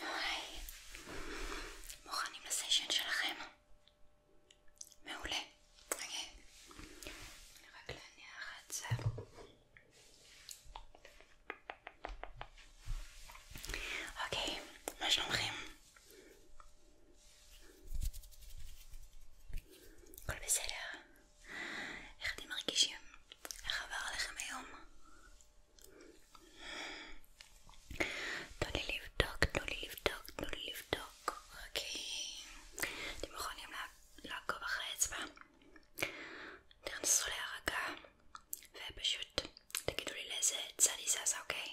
היי, מוכנים לסשן שלכם? מעולה. אוקיי. אני רק להניח את זה. אוקיי, מה שלומכם? הכל בסדר? איך אתם מרגישים? איך עבר עליכם היום? תנו לי לבדוק, תנו לי לבדוק, תנו לי לבדוק, אוקיי. אתם יכולים לעקוב אחרי האצבע? תנסו להירגע ופשוט תגידו לי לאיזה צד היא זזה, אוקיי?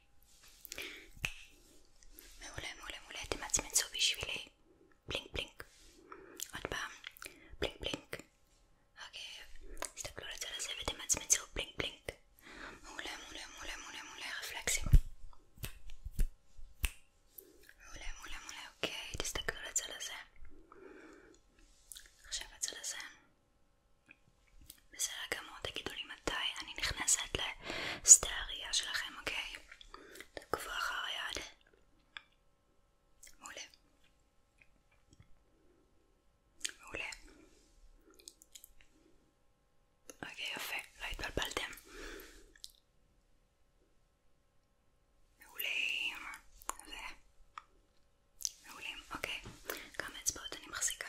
מעולה, מעולה, מעולה, אתם תמצמצו בשבילי בלינק בלינק עוד פעם, בלינק בלינק אוקיי. אוקיי, תסתכלו לצד הזה ותמצמצו בלינק בלינק מעולה, מעולה, מעולה, מעולה, מעולה, רפלקסים מעולה, מעולה, מעולה, אוקיי, תסתכלו לצד הזה עכשיו הצד הזה בסדר גמור, תגידו לי מתי אני נכנסת לשדה הראייה שלכם, אוקיי? תעקבו אחר היד. מעולה. מעולה. אוקיי, יפה, לא התבלבלתם. מעולים. ו... מעולים, אוקיי. כמה אצבעות אני מחזיקה?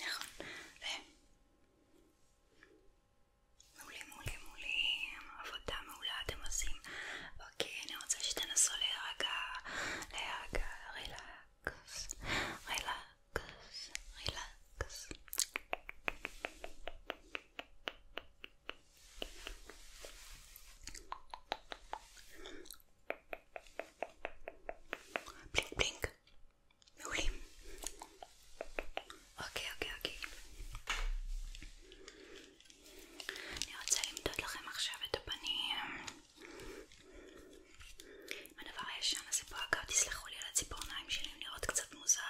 נכון, ו... מעולה, מעולה, מעולה, עבודה מעולה אתם עושים. אוקיי, אני רוצה שתנסו להירגע, להירגע, רילקס, רילקס, רילקס. בלינק בלינק מעולים. אוקיי, אוקיי, אוקיי. אני רוצה למדוד לכם עכשיו את הפנים. עם הדבר הישן הזה פה, אגב, תסלחו לי על הציפורניים שלי, הן נראות קצת מוזר.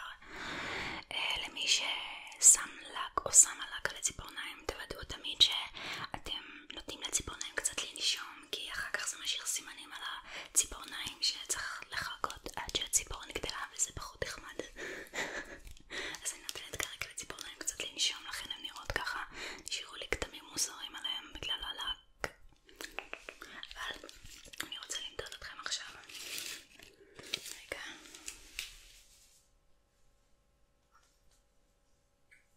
אה, למי ששם לק או שמה לק על הציפורניים, תוודאו תמיד שאתם נותנים לציפורניים קצת לנשום. היום כי אחר כך זה משאיר סימנים על הציפורניים שצריך לחכות עד שהציפורן גדלה וזה פחות נחמד אז אני נותנת כרגע לציפורניים קצת לנשום לכן הן נראות ככה נשאירו לי כתמים מוזרים עליהם בגלל הלק אבל אני רוצה למדוד אתכם עכשיו רגע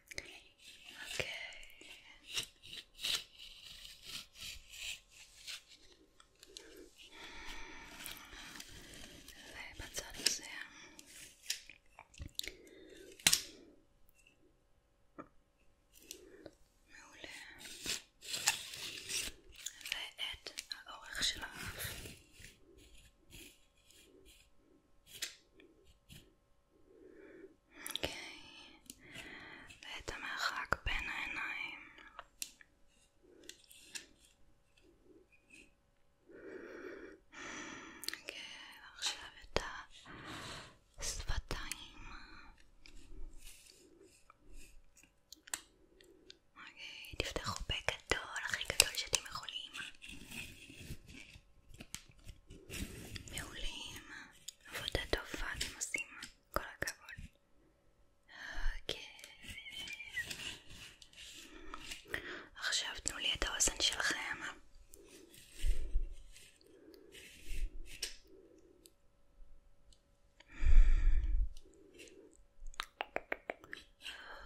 Okay. ובצד הזה. מעולה. ואת האורך אוקיי. של האף. אוקיי, ואת המרחק בין העיניים. אוקיי, עכשיו את השפתיים. אוקיי, תפתחו פה גדול, הכי גדול שאתם יכולים. מעולים. עבודה טובה אתם עושים, כל הכבוד. אוקיי. עכשיו תנו לי את האוזן שלכם.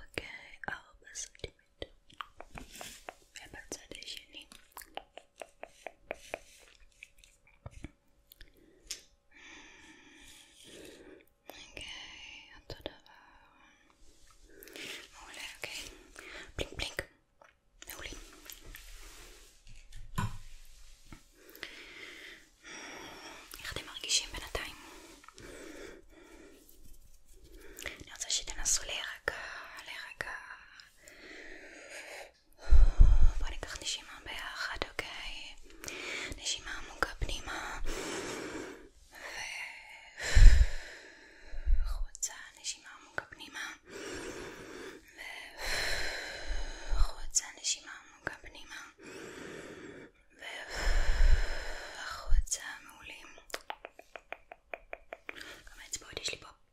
אוקיי, ארבע סנטימטר. ובצד השני. אוקיי, אותו דבר. מעולה, אוקיי. בלינק בלינק. מעולה. איך אתם מרגישים בינתיים? אני רוצה שתנסו להירגע, להירגע. בוא ניקח נשימה ביחד, אוקיי? נשימה עמוקה פנימה וחוצה, נשימה עמוקה פנימה וחוצה, נשימה עמוקה פנימה וחוצה, מעולים כמה אצבעות יש לי פה?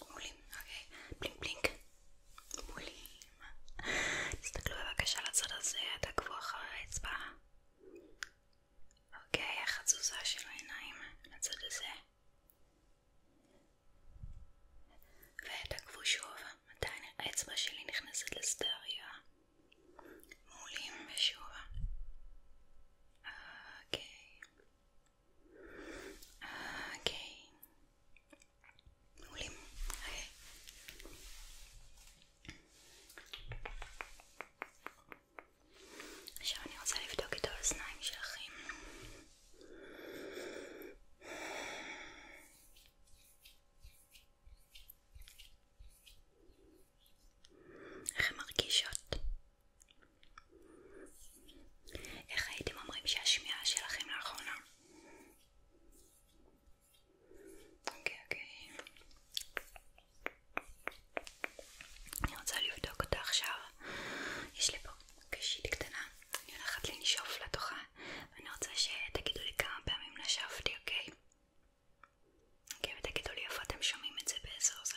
מעולים, אוקיי, בלינק בלינק, מעולים. תסתכלו בבקשה לצד הזה, תעקבו אחר האצבע. אוקיי, החצוזה של העיניים לצד הזה. ותעקבו שוב מתי האצבע שלי נכנסת לסדריה. מעולים, ושוב. Okay. אוקיי. Okay. אוקיי. מעולים. Okay. אוקיי. עכשיו אני רוצה לבדוק את האוזניים שלכם. איך הן מרגישות? איך הייתם אומרים שהשמיעה שלכם לאחרונה? אוקיי, אוקיי. אני רוצה לבדוק אותה עכשיו. יש לי פה קשית קטנה, אני הולכת לנשוף לתוכה, ואני רוצה שתגידו לי כמה פעמים נשפתי, אוקיי? אוקיי, ותגידו לי איפה אתם שומעים את זה באיזה אוזן.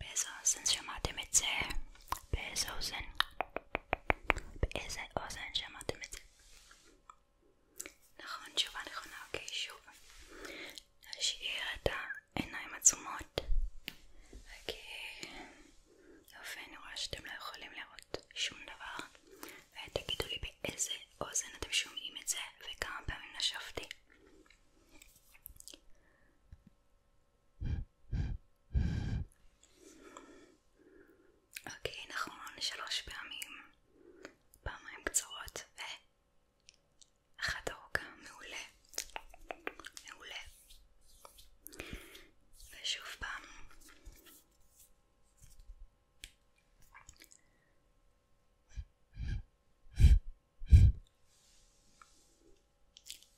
Bezos'un şemademeti. Bezos'un. Bezos'un şemademeti. נכון, תשובה נכונה, אוקיי, שוב. להשאיר את העיניים עצומות. אוקיי. יופי, אני רואה שאתם לא יכולים לראות שום דבר. ותגידו לי באיזה באוזן, אתם שומעים את זה, וכמה פעמים נשבתי. אוקיי, נכון, שלוש פעמים, פעמיים קצרות, ואחת ארוכה, מעולה, מעולה. ושוב פעם.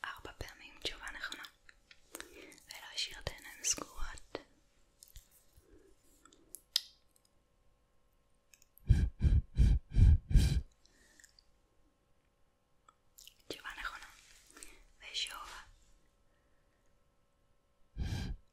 ארבע פעמים תשובה נכונה ולהשאיר את העיניים סגורות תשובה נכונה ושוב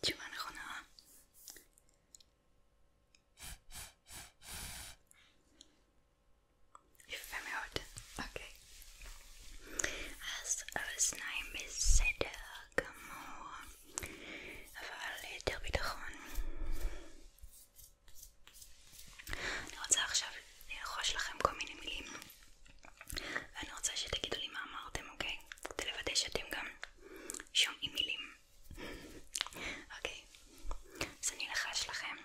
תשובה נכונה. יפה מאוד, אוקיי. אז האוזניים בסדר גמור, אבל ליתר ביטחון. אני רוצה עכשיו ללחוש לכם כל מיני מילים ואני רוצה שתגידו לי מה אמרתם, אוקיי? כדי לוודא שאתם גם שומעים מילים. אוקיי, אז אני אלחש לכם.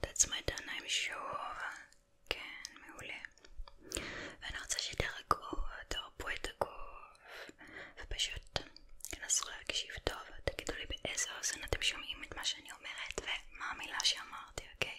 תעצמו את העיניים שוב. כן, מעולה. ואני רוצה שתרגעו, תרפו את הגוף, ופשוט תנסו להקשיב טוב, תגידו לי באיזה אוזן אתם שומעים את מה שאני אומרת ומה המילה שאמרתי, אוקיי?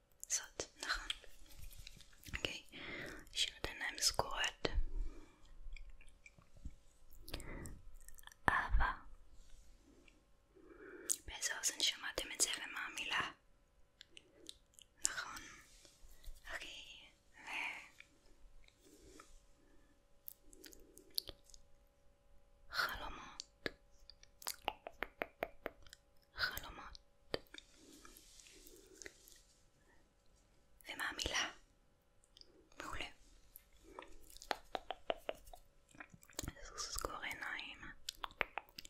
זאת, נכון. אוקיי, השאיר את העיניים סגורות. אהבה. באיזה אוזן שמעתם את זה ומה המילה? נכון. אוקיי, ו... חלומות. חלומות. ומה המילה? מעולה. סגור עיניים.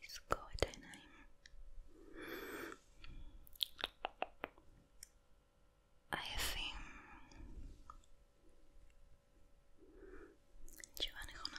לסגור את העיניים. עייפים. תשובה נכונה.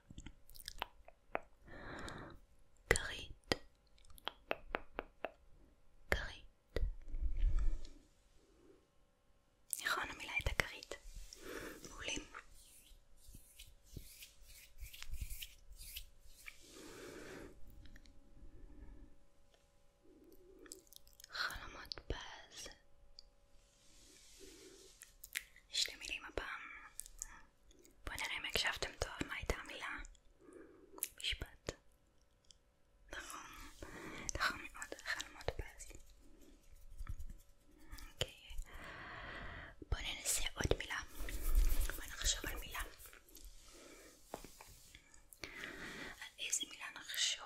כרית, כרית. נכון, המילה הייתה כרית. מעולים. חלומות פז, שתי מילים הפעם. בואו נראה אם הקשבתם טוב מה הייתה המילה. משפט. נכון, נכון מאוד, חלומות פז. אוקיי, בואו ננסה עוד מילה. בואו נחשוב על מילה. על איזה מילה נחשוב?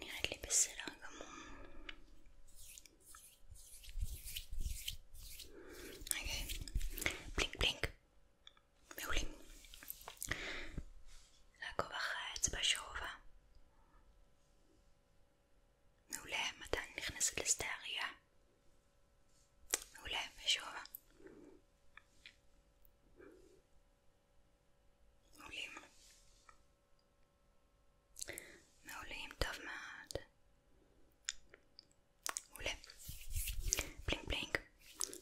נראית לי בסדר גמור. אוקיי, בלינק בלינק. מעולים. לעקוב אחרי האצבע שרובה. מעולה, מתן נכנסת לשדה הראייה. מעולה, ושובה. מעולים. מעולים, טוב מאוד. מעולה. בלינק נכון.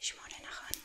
שמונה נכון.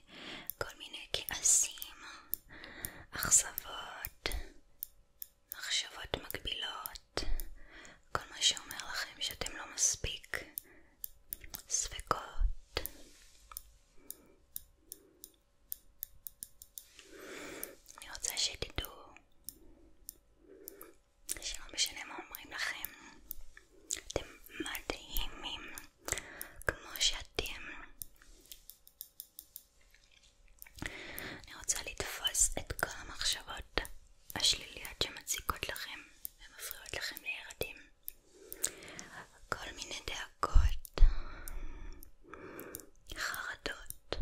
כל מיני כעסים, אכזבות, מחשבות מגבילות, כל מה שאומר לכם שאתם לא מספיק, ספקות. אני רוצה שתדעו שלא משנה מה אומרים לכם, אתם מדהימים. כמו שאתם. אני רוצה לתפוס את כל המחשבות השליליות שמציקות לכם ומפריעות לכם להירדם. כל מיני דאגות, חרדות,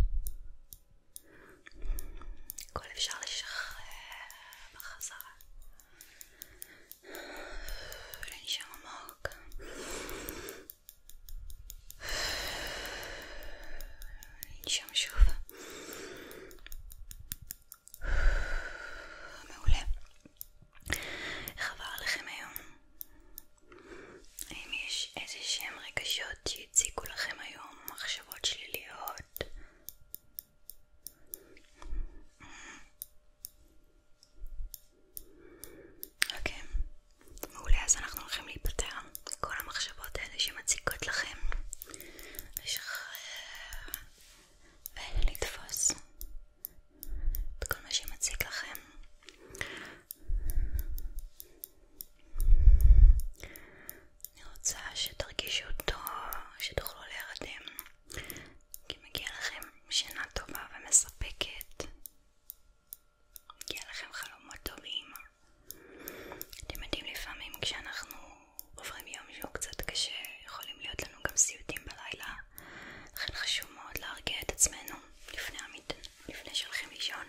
הכל אפשר לשחרר בחזרה. Ręsią oka. Ręsią siufa. מעולה. חבל לכם היום. האם יש איזה שהם רגשות שהציגו לכם היום מחשבות שליליות? אוקיי, מעולה, אז אנחנו הולכים להיפטר כל המחשבות האלה שמציקות לכם לשחרר ולתפוס את כל מה שמציק לכם אני רוצה שתרגישו טוב, שתוכלו להירדם כי מגיע לכם שינה טובה ומספקת, מגיע לכם חלומות טובים. אתם יודעים לפעמים כשאנחנו עוברים יום שהוא קצת קשה, יכולים להיות לנו גם סיוטים בלילה, לכן חשוב מאוד להרגיע את עצמנו לפני, המית... לפני שהולכים לישון.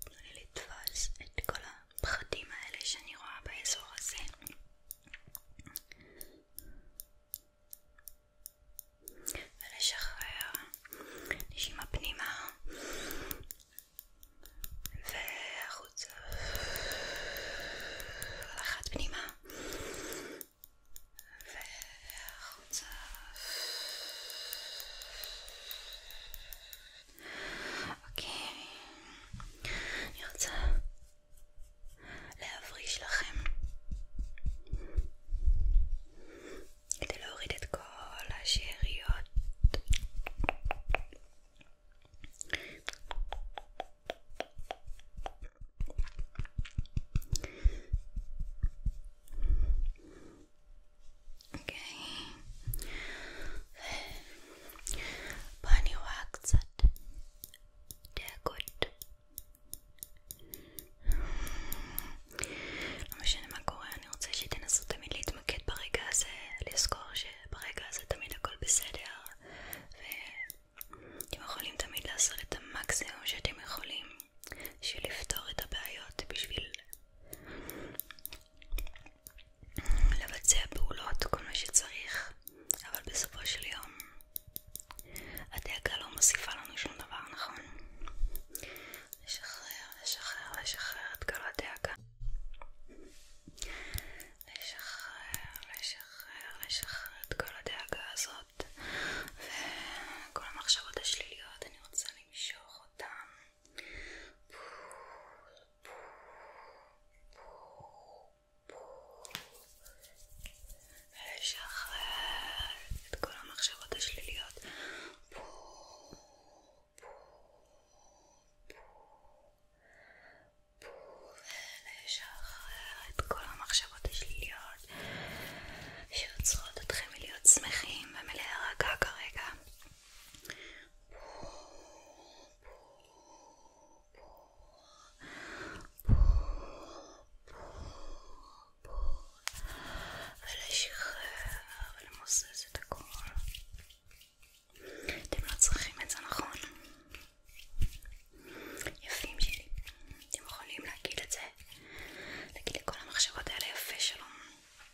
תנו לא לי לתפוס את כל ה... הפחדים האלה שאני רואה באזור הזה ולשחרר נשימה פנימה והחוצה אחת פנימה והחוצה אוקיי, אני רוצה להבריש לכם כדי להוריד את כל השאריות. אוקיי. בוא אני רואה קצת דאגות. לא משנה מה קורה, אני רוצה שתנסו תמיד להתמקד ברגע הזה, לזכור שברגע הזה תמיד הכל בסדר, ואתם יכולים תמיד לעשות את המקסימום שאתם יכולים בשביל לפתור את הבעיות, בשביל לבצע פעולות, כל מה שצריך, אבל בסופו של יום הדאגה לא מוסיפה לנו שום דבר, נכון? לשחרר, לשחרר, לשחרר את כל הדאגה. לשחרר, לשחרר, לשחרר את כל הדאגה הזאת וכל המחשבות השליליות, אני רוצה למשוך אותן ולשחרר את כל המחשבות השליליות ולשחרר את כל המחשבות השליליות שיוצרות אתכם מלהיות שמחים ומלהירגע כרגע ולשחרר ולמוסס את הכל. אתם לא צריכים את זה, נכון? יפים שלי. אתם יכולים להגיד את זה, להגיד לכל המחשבות האלה יפה שלום.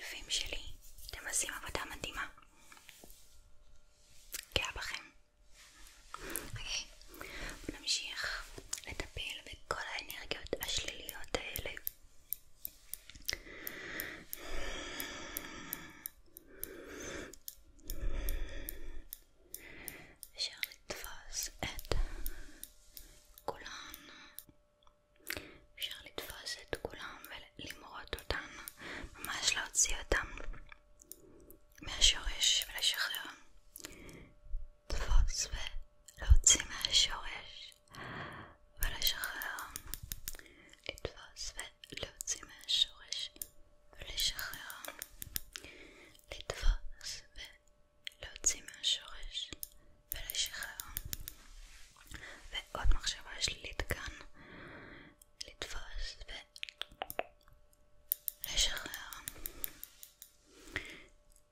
יפים שלי, אתם עושים עבודה מדהימה. גאה בכם. אוקיי, בואו נמשיך לטפל בכל האנרגיות השליליות האלה. אפשר לתפוס את כולן אפשר לתפוס את כולם ולמרות אותם, ממש להוציא אותם מהשורש ולשחרר. תפוס ולהוציא מהשורש ולשחרר. לתפוס ולהוציא מהשורש ולשחרר. לתפוס ולהוציא מהשורש ולשחרר ועוד מחשבה שלילית כאן לתפוס ולשחרר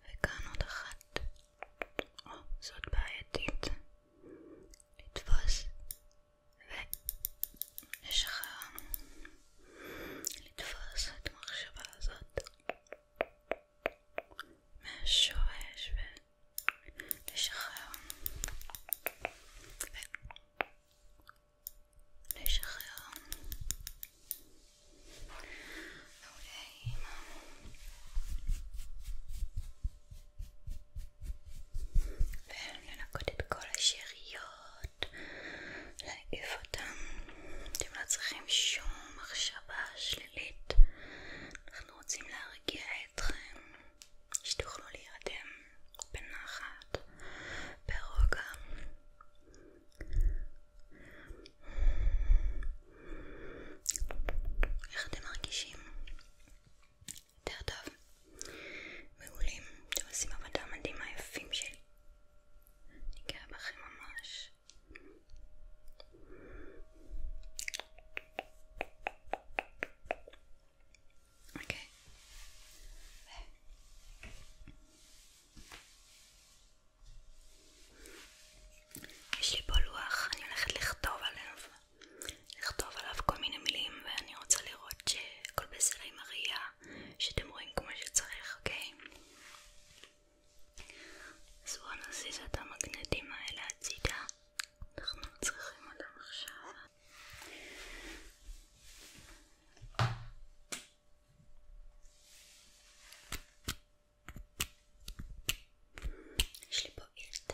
וכאן עוד אחת או, זאת בעייתית לתפוס ולשחרר לתפוס את המחשבה הזאת מהשורש ו... לשחרר ולשחרר מעולה אוקיי. ולנקות את כל השאריות להעיף אותם אתם לא צריכים שום מחשבה שלילית אנחנו רוצים להרגיע אתכם, שתוכלו להירדם בנחת, ברוגע. איך אתם מרגישים? יותר טוב. מעולים, אתם עושים עבודה מדהימה יפים שלי. אני גאה בכם ממש. Okay. אוקיי. There. יש לי פה לוח, אני הולכת לכתוב עליו, לכתוב עליו כל מיני מילים ואני רוצה לראות שכל בסדר עם הראייה, שאתם רואים כמו שצריך, אוקיי? אז בואו נזיז את המגנטים האלה הצידה אנחנו צריכים אותם עכשיו. יש לי פה עילט.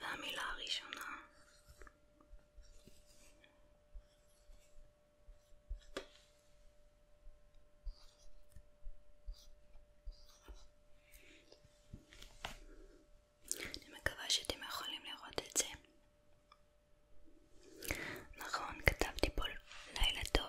והמילה הראשונה אני מקווה שאתם יכולים לראות את זה נכון, כתבתי פה לילה טוב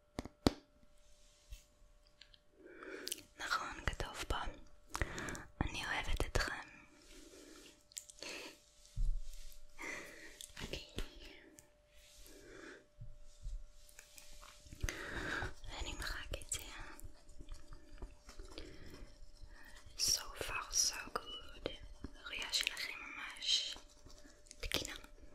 נכון, כתוב פה. אני אוהבת אתכם. okay. אוקיי. ואני מחק את זה. So far so good. הראייה שלכם ממש תקינה.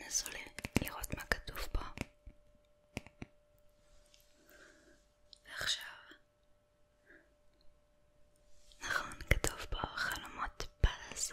נסו לראות מה כתוב פה. ועכשיו, נכון, כתוב פה חלומות פז.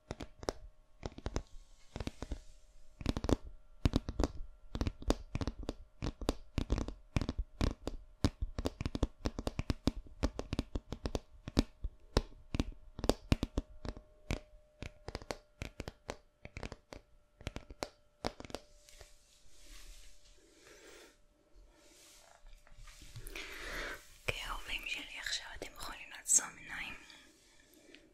אוקיי, אהובים שלי, עכשיו אתם יכולים לעצום עיניים